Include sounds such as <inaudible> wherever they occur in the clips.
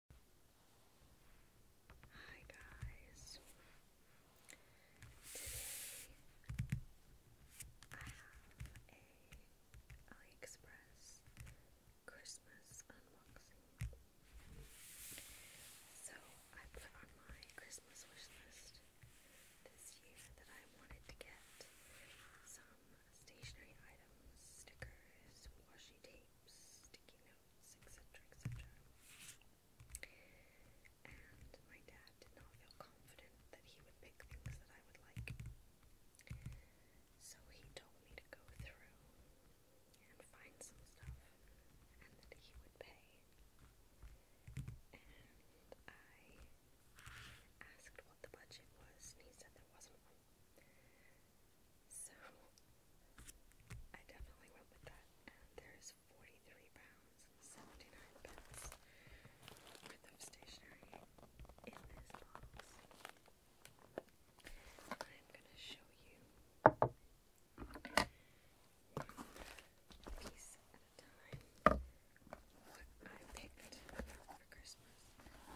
Hi guys. Today I have a AliExpress Christmas unboxing. So I put on my Christmas wish list this year that I wanted to get some stationery items, stickers, washi tape, sticky notes, etc., etc. And my dad did not feel confident that he would pick things that I would like. So he told me to go through and find some stuff and he would pay. And I asked what the budget was, and he said there wasn't one. So I definitely went with that. there's 43 pounds 79 worth of stationery in this box. I'm gonna show you piece at a time what I picked for Christmas.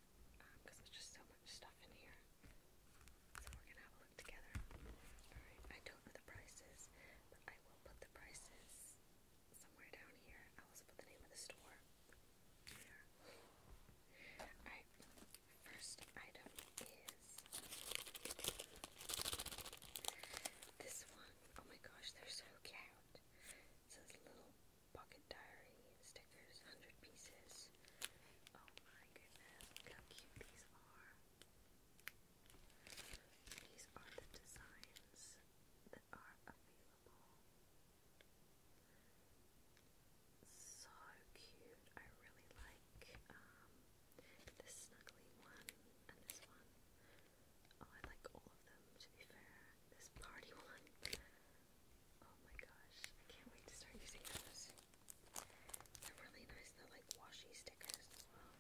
because there's just so much stuff in here. So we're gonna have a look together. Alright, I don't know the prices, but I will put the prices somewhere down here. I also put the name of the store here. Alright, first item is this one. Oh my gosh, they're so cute. It says Little Pocket Diary stickers, 100 pieces. Oh my goodness, how cute these are. These are the designs that are available. So cute. I really like um, snuggly one and this one. Oh, I like all of them to be fair. This party <laughs> one. Oh my gosh, I can't wait to start using those. They're really nice, they're like washi stickers as well.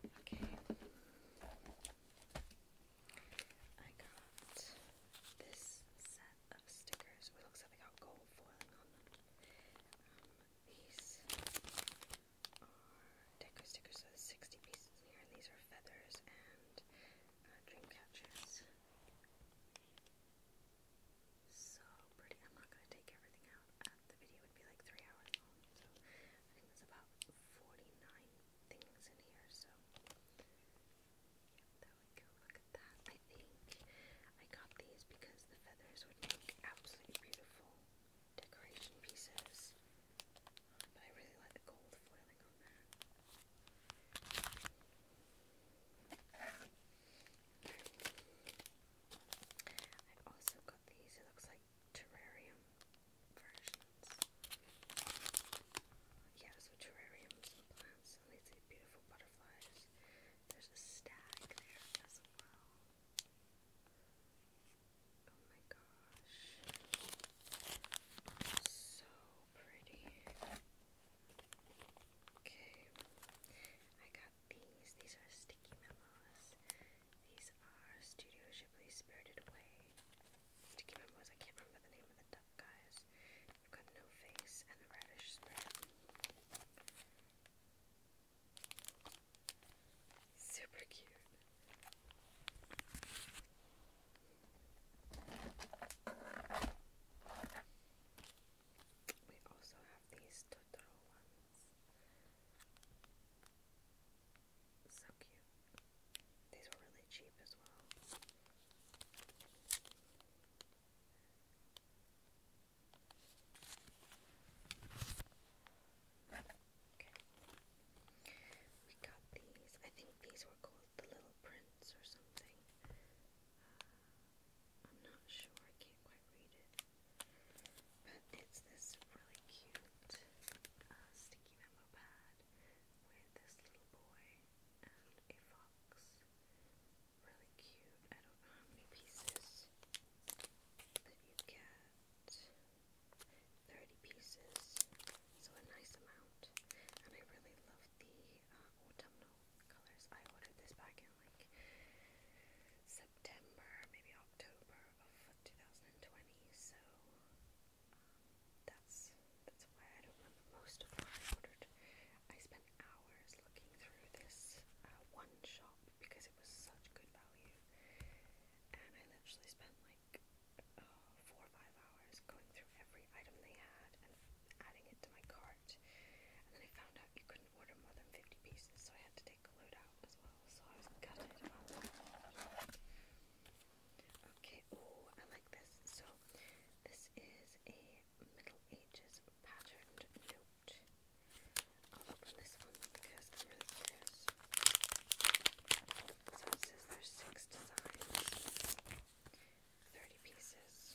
Okay. I got this set of stickers. it looks like they got gold foiling on them. Um, these are deco stickers, so there's 60 pieces here, and these are feathers and uh, so pretty. I'm not gonna take everything out. Uh, the video would be like three hours long, so I think there's about 49 things in here. So there we go. Look at that. I think I got these because the feathers would make absolutely beautiful decoration pieces. But I really like the gold foiling on that. I've also got these, it looks like terrarium versions. Yeah, so terrariums and plants, and these are beautiful butterflies. There's a stag there as well. Oh my gosh. So pretty. Okay, I got these. These are sticky memos. These are Studio Ghibli Spirited Away. Sticky memos, I can't remember the name of the duck guys. I've got No Face and the Radish Super cute. We also have these Totoro ones. So cute. These were really cheap as well. We got these. I think these were called the Little Prince or something. I'm not sure, I can't quite read it. But it's this really cute uh, sticky memo pad with this little boy and a fox. Really cute. I don't know how many pieces that you get. 30 pieces, so a nice amount. And I really love the uh, autumnal colors. I ordered this back in like September, maybe October of 2020. So um, that's that's why I don't remember most of what I ordered. I spent hours looking through this uh, one shop because it was such good value, and I literally spent like uh, four or five hours going through every item they had and adding it to my cart. And then I found out you couldn't order more than 50 pieces, so I had to take a load out as well. So I was gutted Okay, oh, I like this. So this is a Middle Ages patterned note. I'll open this one because there's so it says there's six designs, 30 pieces.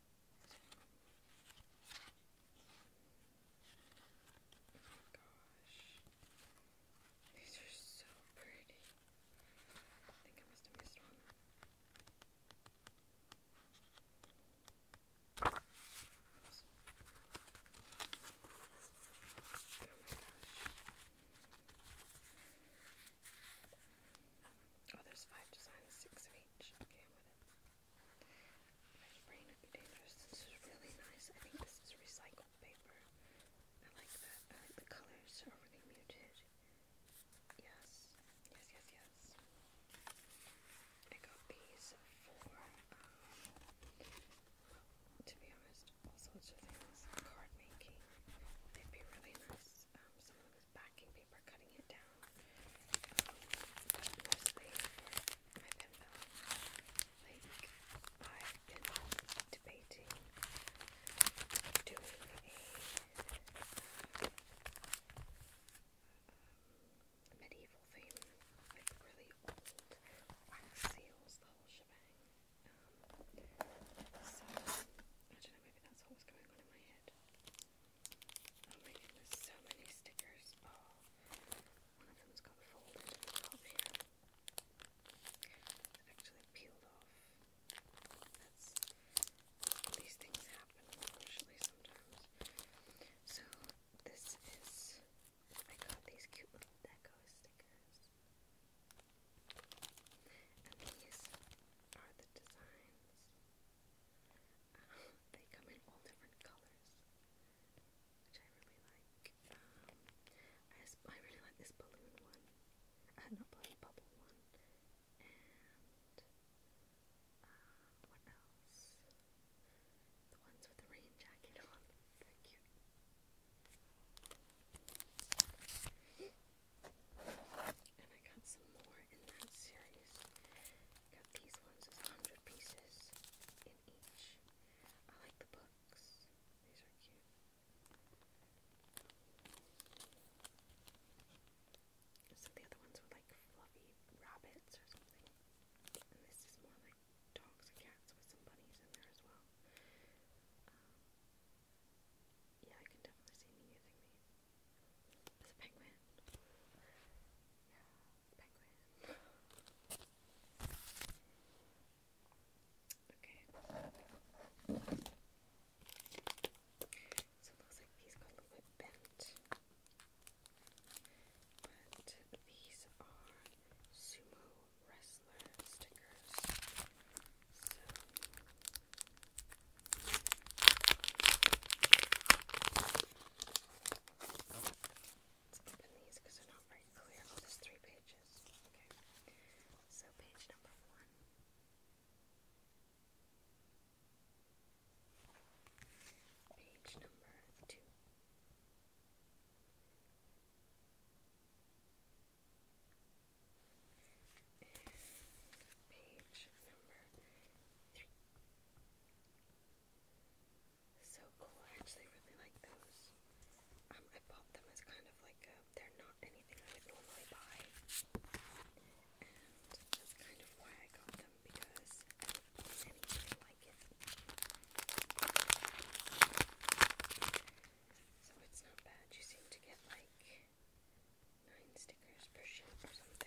Oh gosh. These are so pretty. I think I must have missed one. Oh, there's five designs, six of each. Okay, I'm with it. My brain This is really nice. I think this is recycled paper. I like that. I like the colors are really muted. Yes, yes, yes, yes. I got these for, um, to be honest, all sorts of things. Card making. They'd be really nice. Um, someone was backing paper, cutting it down mostly I like, I've debating doing a medieval theme, like really old wax seals, the whole shebang. so, I don't know, maybe that's what going on in my head. Oh my goodness, so many stickers. Oh, one of them's got folded at the top here. It's actually peeled off. these things happen unfortunately sometimes. So this is I got these cute little deco stickers. And these are the designs. Uh, they come in all different colors, which I really like. Um, I, really like this balloon one, uh, not balloon, bubble one, and uh, what else? The ones with the rain jacket on, they cute. And I got some more in that series. Got these ones as 100 hundred pieces in each. I like the books. These are cute. So the other ones were like fluffy rabbits or something. And this is more like dogs and cats with some bunnies in there as well. Um, yeah, I can definitely see me using these. There's a penguin. Yeah. Penguin. Okay. So it looks like these got a little bit bent. But these are sumo wrestler stickers. Let's open these because they're not very clear. Oh, there's three pages. Okay. So, page number one. Page number two. page number three. So cool. I actually really like those. Um, I bought them as kind of like a, they're not anything I would normally buy. And that's kind of why I got them because I don't own anything like it. So it's not bad. You seem to get like nine stickers per ship or something.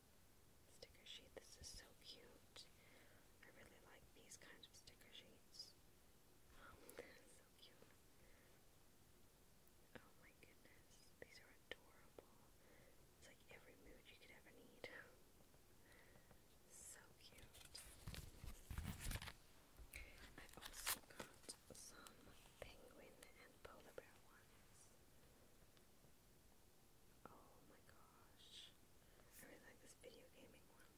sticker sheet. This is so cute. I really like these kinds of sticker sheets. <laughs> so cute. Oh my goodness, these are adorable. It's like every mood you could ever need. <laughs> so cute. I also got some penguin and polar bear ones. Oh my gosh. I really like this video gaming one.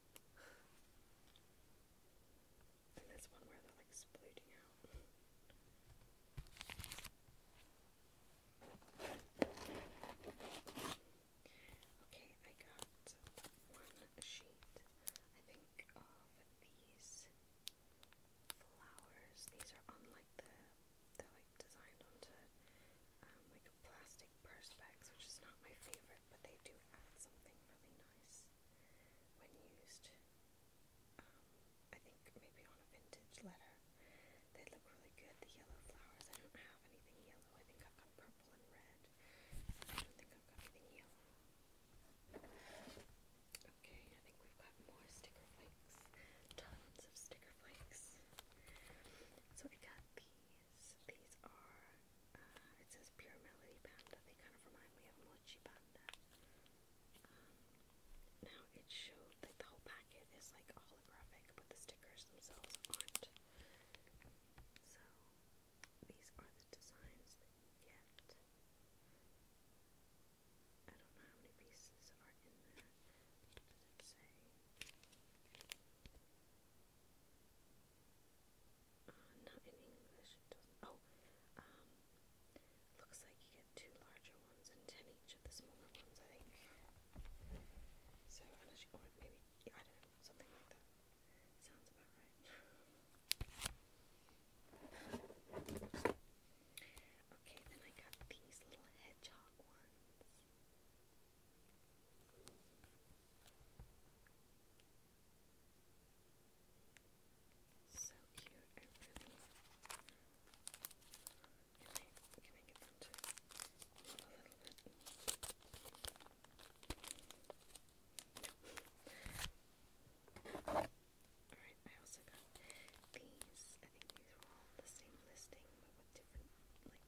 <sighs> and this one where they're like splooting out. Okay, I got one sheet, I think, of these flowers. These are on the they're like designed onto um, like plastic purse bags, which is not my favorite, but they do add something really nice when used. Um, I think maybe on a vintage letter, they look really good. The yellow flowers, I don't have anything yellow. I think I've got purple and red. I don't think I've got anything yellow. Okay, I think we've got more sticker flakes. Tons of sticker flakes. So I got these. These are, uh, it says Pure Melody Panda. They kind of remind me of Mochi Panda. Um, now it showed, like the whole packet is like holographic, but the stickers themselves aren't. So these are the designs that you get. I don't know how many pieces are in there let not in English. Oh, looks like you get two larger ones and ten each of the smaller ones. I think. So unless you maybe I don't know something like that. Sounds about right. okay, then I got these little hedgehog ones. So cute, I really. Can I, can I a little bit? Alright, I also got these. I think these were all the same listing, with different like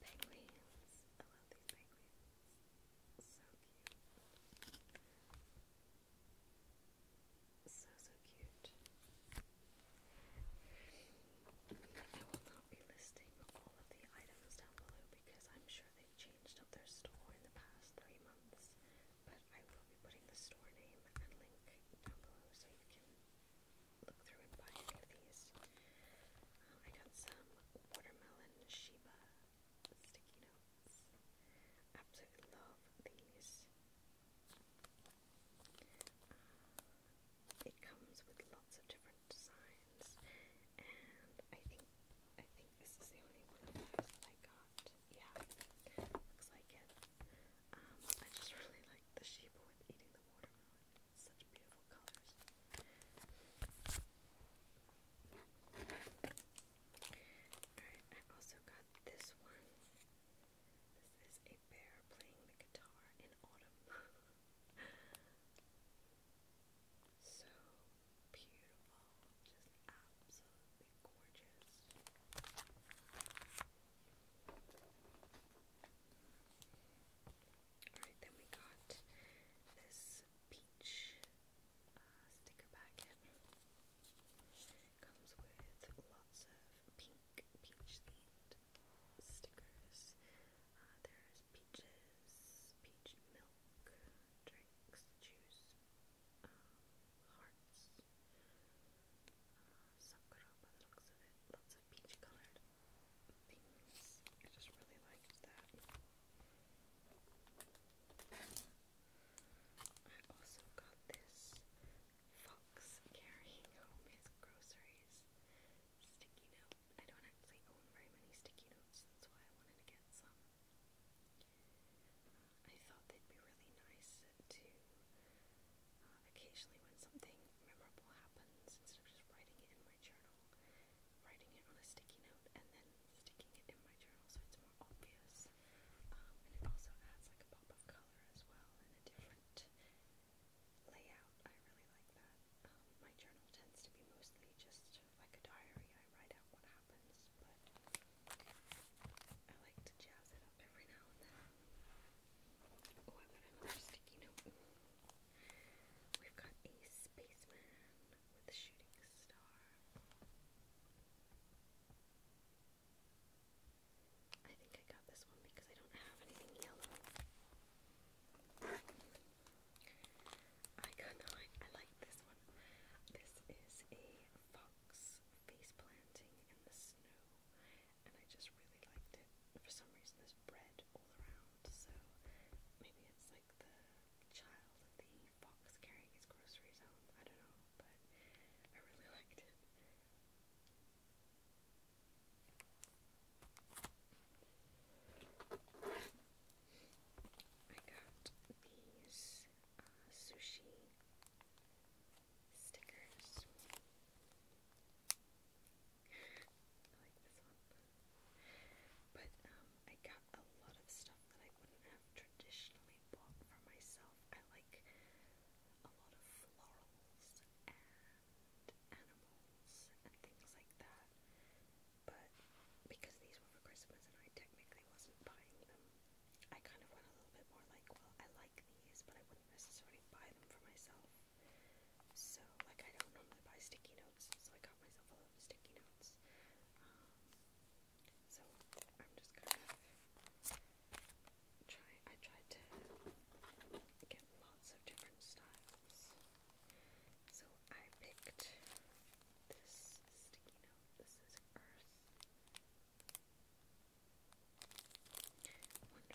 pattern choices. These I love these penguins. So cute. So so cute. I will not be listing all of the items down below because I'm sure they've changed up their store in the past three months but I will be putting the store name and link down below so you can look through and buy any of these. Um, I got some watermelon Shiba sticky notes. Absolutely love these. Uh, it comes with lots of different designs, and I think I think this is the only one of those that I got yeah, looks like it. Um, I just really like the sheep with eating the watermelon. such beautiful colors. Alright, I also got this one. This is a bear playing the guitar in autumn. <laughs> so beautiful, just absolutely gorgeous. Alright, then we got this peach uh, sticker packet. Comes with lots of pink peach themed stickers. Uh, there's peaches, peach milk, drinks, juice, um, hearts, uh, sakura Lots of peach colored things. I just really liked that. I also got this fox carrying home his groceries sticky note. I don't actually own very many sticky notes, that's why I wanted to get some. I thought they'd be really nice to uh, occasionally when something memorable happens, instead of just writing it in my journal, writing it on a sticky note and then sticking it in my journal so it's more obvious. Um, and it also adds like a pop of color as well and a different layout. I really like that. Um, my journal tends to be mostly just like a diary. I write out what happens, but I like to jazz it up every now and then. Oh, I've got another sticky note. We've got a spaceman with a shooting star. I think I got this one because I don't have anything yellow. I got nine. I like this one. This is a fox face planting in the snow, and I just really liked it. For some reason, there's bread all around, so maybe it's like the child the fox carrying his groceries home. I don't know, but I really <laughs> liked it. I got these uh, sushi stickers. I like this one. But um, I got a lot of stuff that I wouldn't have traditionally bought for myself. I like a lot of florals and animals and things like that. But because these were for Christmas and I technically wasn't buying them, I kind of went a little bit more like, well, I like these, but I wouldn't necessarily buy them for myself. So, like, I don't normally buy sticky notes, so I got myself a lot of sticky notes. Um, so, I'm just gonna try. I tried to get lots of different styles. So, I picked this sticky note. This is Earth. Wonder if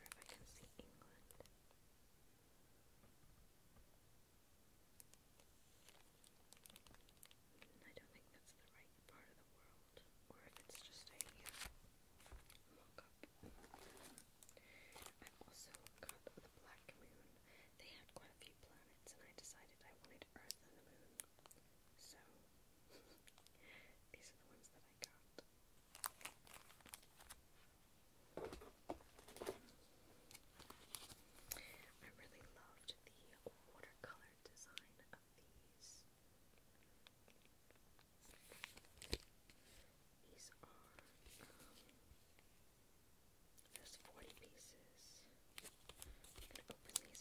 I can see England. I don't think that's the right part of the world, or if it's just a mock up. I also got the Black Moon. They had quite a few planets, and I decided I wanted Earth and the Moon. So, <laughs> these are the ones that I got. really loved the watercolor design of these. These are um, there's 40 pieces. I'm gonna open these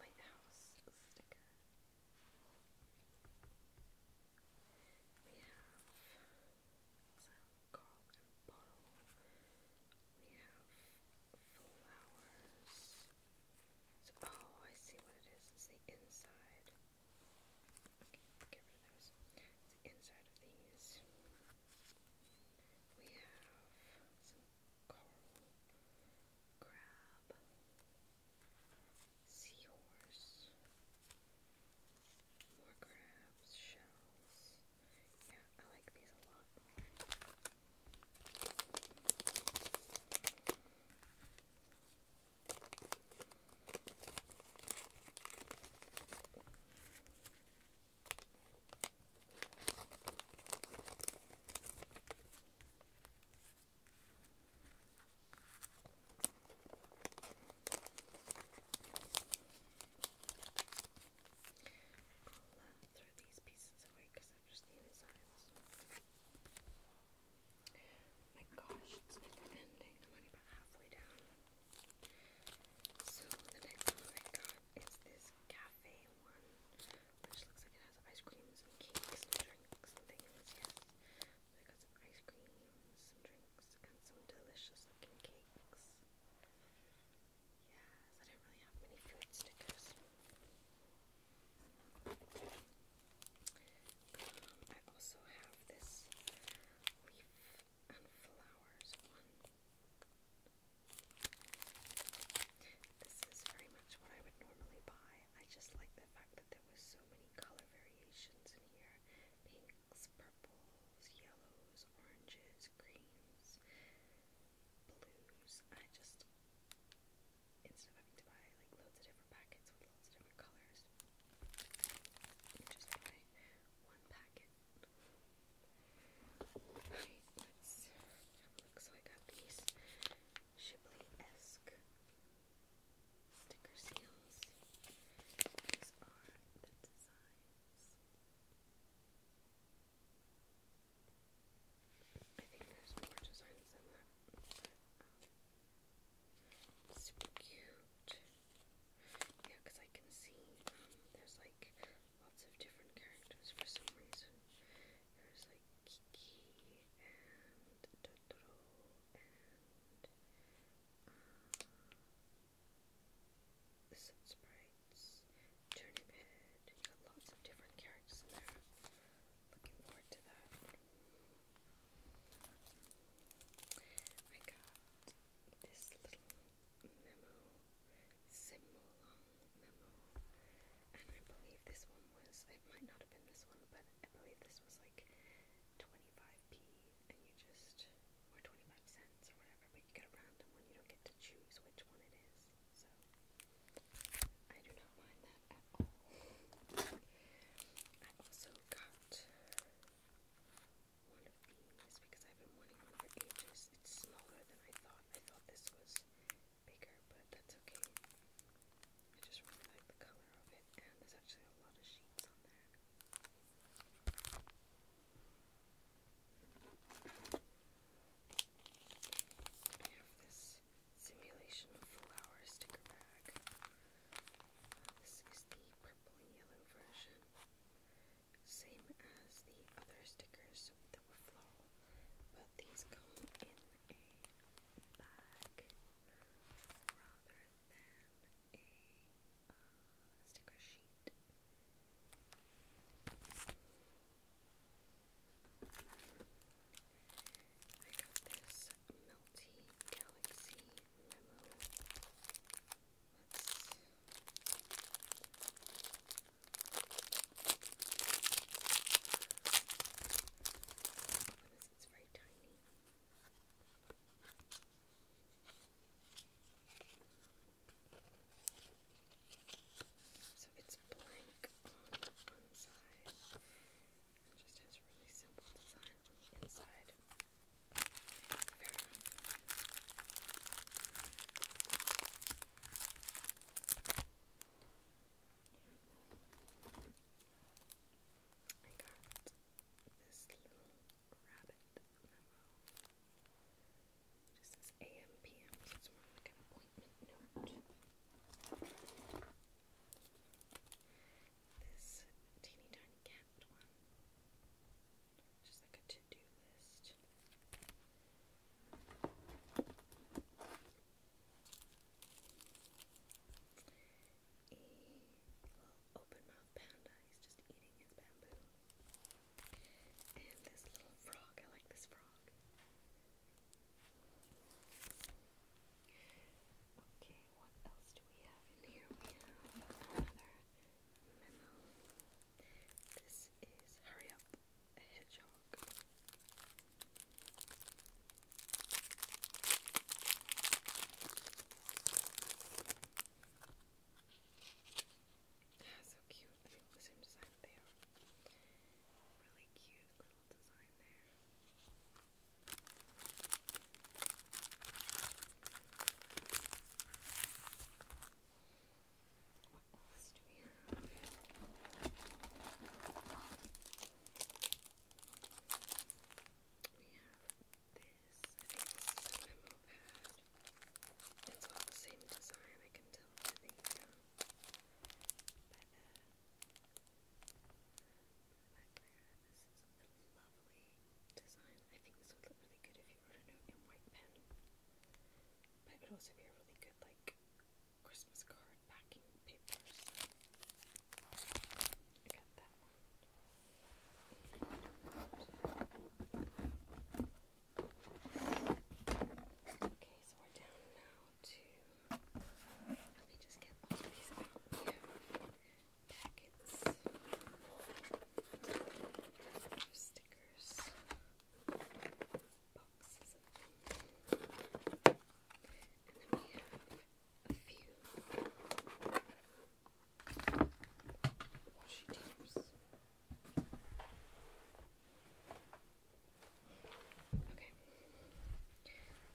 lighthouse sticker. We have some cock and bottle. We have flowers. oh, I see what it is. It's the inside. Okay, get rid those. the inside of these. We have coral, crab, seahorse, more crabs, shells. Yeah, I like these a lot. I'll throw these pieces away because i just needing signs. Oh my gosh, it's never ending. I'm only about halfway down. So the next one I got is this cat cafe one, I got some ice creams, some drinks, and some delicious looking cakes. Yes, I don't really have many food stickers. Um, I also have this leaf and flowers one. This is very much what I would normally buy. I just like the fact that there were so many color variations in here. Pinks, purples, yellows, oranges, greens, blues. I just instead of having to buy like loads of different packets with loads of different colors, you just buy one packet. Alright, let's have a I got these Shipley-esque sticker seals. These are the designs. I think there's more designs than that. Um, super cute. Yeah, because I can see um, there's like lots of different characters for some reason. There's like Kiki and Totoro and uh, Sun Sprites, Turnip You got lots of different characters in there. Looking forward to that. I got this little symbol memo. And I believe this one was, it might not have been this one, but I believe this was like 25p and you just, or 25 cents or whatever, but you get a random one, you don't get to choose which one it is. So, I do not mind that at all. I also got one of these because I've been wanting one for ages. It's smaller than I thought. I thought this was bigger, but that's okay. I just really like the color of it, and there's actually a lot of sheets on there. I have this simulation flower sticker bag. this is the purple yellow version. Same as the other stickers that were floral, but these come in a bag rather than a uh, sticker sheet. I got this Melty Galaxy Memo. Let's this is very tiny. So it's blank on one side and just has a really simple design on the inside. Very nice. I got this little rabbit just says AM so it's more like an appointment note. This teeny tiny cat one. Just like a to-do list. A little open mouth panda, he's just eating his bamboo. And this little frog, I like this frog. Okay, what else do we have in here? We have another memo. This is Hurry Up a hedgehog. so cute. I mean, the same design they Really cute little design there what else do we have? this. I think this is a memo pad. It's all the same design, I can tell by the, um, by the background. This is a lovely design. I think this would look really good if you wrote a note in white pen. But it would also be a really good, like, Christmas card packing papers. Okay, so we're down now to. Let me just get these out here. Packets. Stickers boxes of Okay.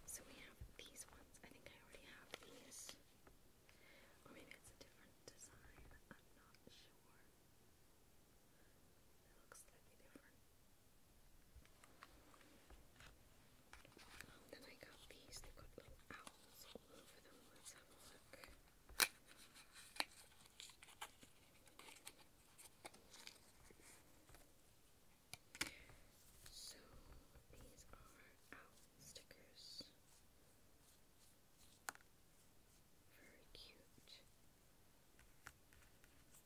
So we have these ones. I think I already have these. Or maybe it's a different design. I'm not sure. It looks then I got these. They've got little owls all over them. Let's have a look. So these are owl stickers. Very cute.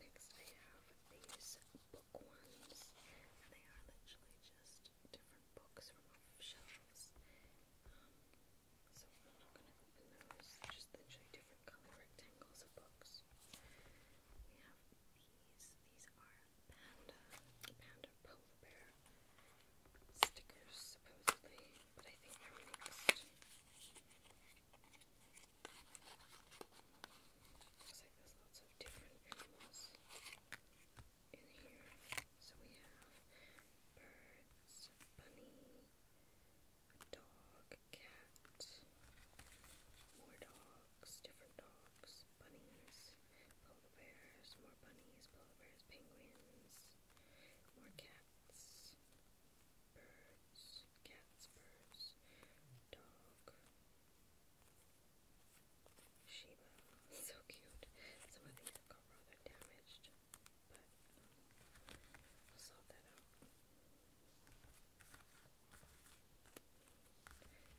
Next, I have these bookworms, and they are literally just different books from off shelves. Um, so I'm not going to open those, just literally different color rectangles of books. We have these. These are panda, panda polar bear stickers supposedly, but I think they're mixed. Looks like there's lots of different animals in here. So we have birds, bunny, dog, cat, more dogs, different dogs, bunnies, polar bears, more bunnies, polar bears, penguins, more cats. Birds. Cats, birds. Dog. Sheba. So cute. Some of these have got rather damaged, but um, I'll sort that out.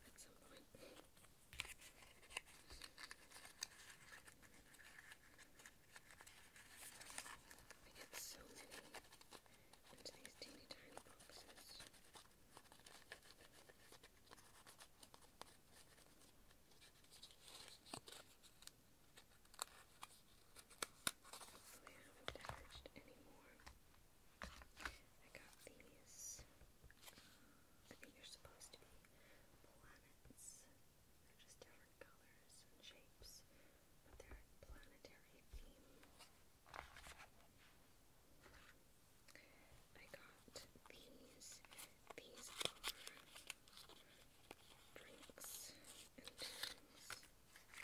At some point. I get so many into these teeny tiny boxes. Hopefully I not damaged any I got these. I think they're supposed to be planets. They're just different colors and shapes, but they're planetary theme. I got these. These drinks and things. Um, yeah,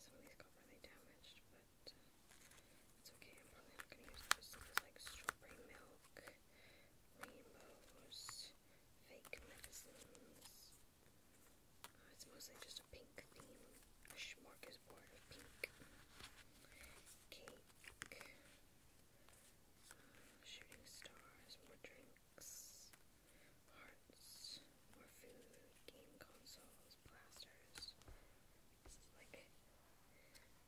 some of these got really damaged, but it's okay. I'm probably not going to use those. Things like strawberry milk, rainbows, fake medicines. it's mostly just a pink theme, a of pink. Cake, shooting stars, more drinks, hearts, more food, game consoles those blasters. like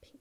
pink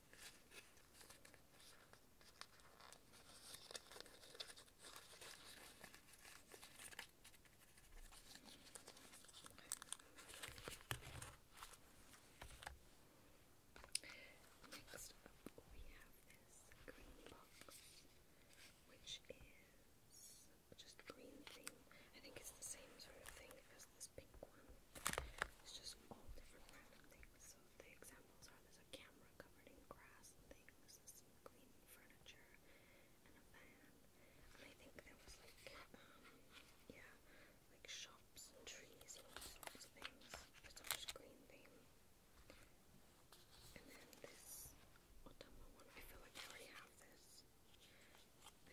Next up, we have this green box, which is just green theme. I think it's the same sort of thing because this pink one is just all different random things. So the examples are there's a camera covered grass things, there's some green furniture and a van. And I think there was like um, yeah, like shops and trees and all sorts of things. It's all just green theme. And then this I feel like I already have this.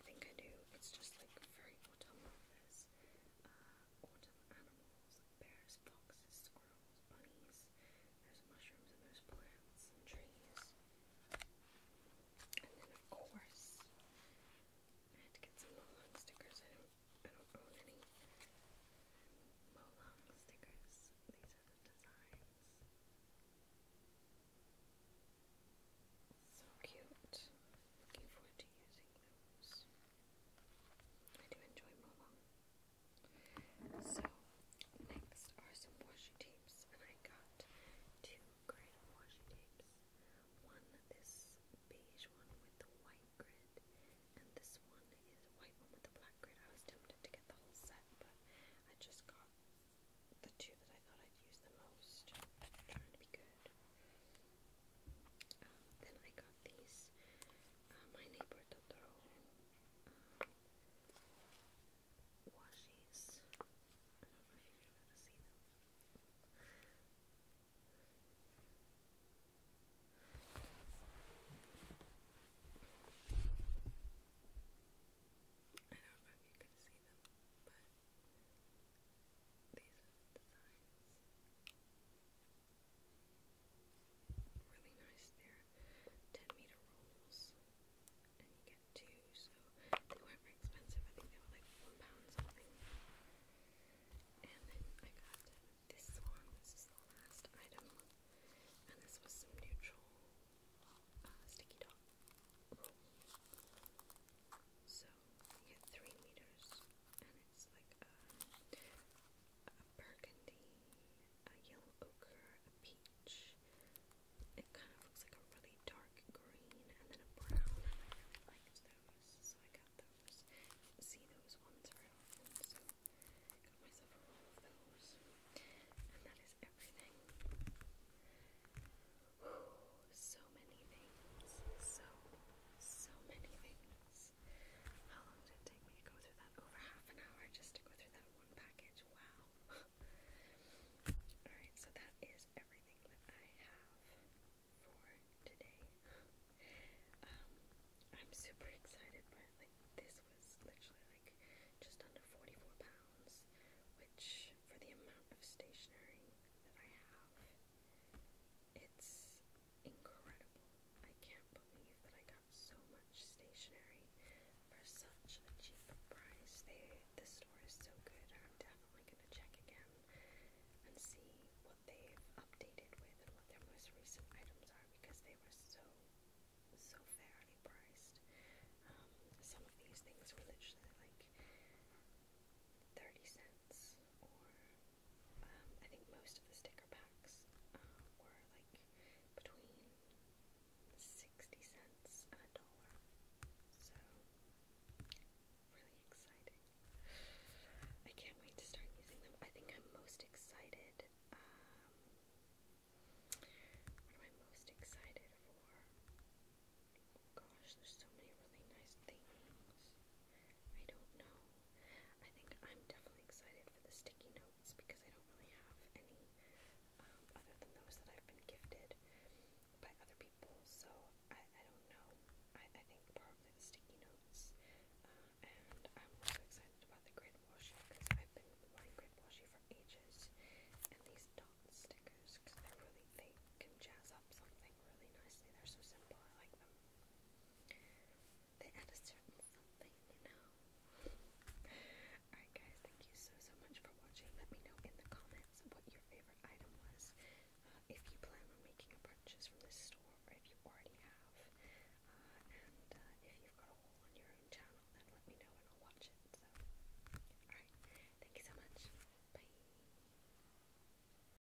I think I do. It's just like very autumnal this. Uh, autumn animals, bears, foxes, squirrels, bunnies, there's mushrooms and there's plants and trees. And then of course, I had to get some Molong stickers, I don't, I don't own any Molong stickers. These are the designs. So cute. Looking forward to using those. I do enjoy Momo. So, next are some washi tapes, and I got two grid washi tapes. One, this beige one with the white grid, and this one is white one with the black grid. I was tempted to get the whole set, but I just got the two that I thought I'd use the most. trying to be good. Then I got these uh, My Neighbor Totoro um, I don't know if you can see them, but these are the designs really nice. they 10 meter rolls, and you get two, so they weren't very expensive. I think they were like one pound something. And then I got this one. This is the last item, and this was some neutral uh, sticky dot So you three meters, and it's like a, a burgundy, a yellow ochre, a peach. It kind of looks like a really dark green, and then a brown. I really liked those, so I got those. see those ones very often, so I got myself a roll of those. And that is everything. so many things. So, so many things. How long did it take me to go through that? Over half an hour just to go through that one package. Wow. <laughs> Alright, so that is everything that I have for today. Um, I'm super excited, but like this was literally like just under 44 pounds, which for the amount of stationery that I have, it's incredible. I can't believe that I got so much stationery for such a cheap price. They, this store is so good. I'm definitely gonna check again and see what they've updated with and what their most recent items are because they were so so fairly priced. Um, some of these things were literally like 30 cents or um, I think most of the sticker packs uh, were like between 60 cents and a dollar. So, really exciting. I can't wait to start using them. I think I'm most excited. Um, what am I most excited for? Oh gosh, there's so many really nice things. I don't know. I think I'm definitely excited for the sticky notes because I don't really have any um, other than those that I've been gifted by other people. So I, don't know. I, think probably the sticky notes. Uh, and I'm also excited about the grid washi because I've been wanting grid washi for ages. And these dot stickers because they're really they can jazz up something really nicely. They're so simple. I like them. Alright guys, thank you so so much for watching. Let me know in the comments what your favorite item was. Uh, if you plan on making a purchase from this store or if you already have. Uh, and uh, if you've got a haul on your own channel, then let me know and I'll watch it. So alright, thank you so much. Bye.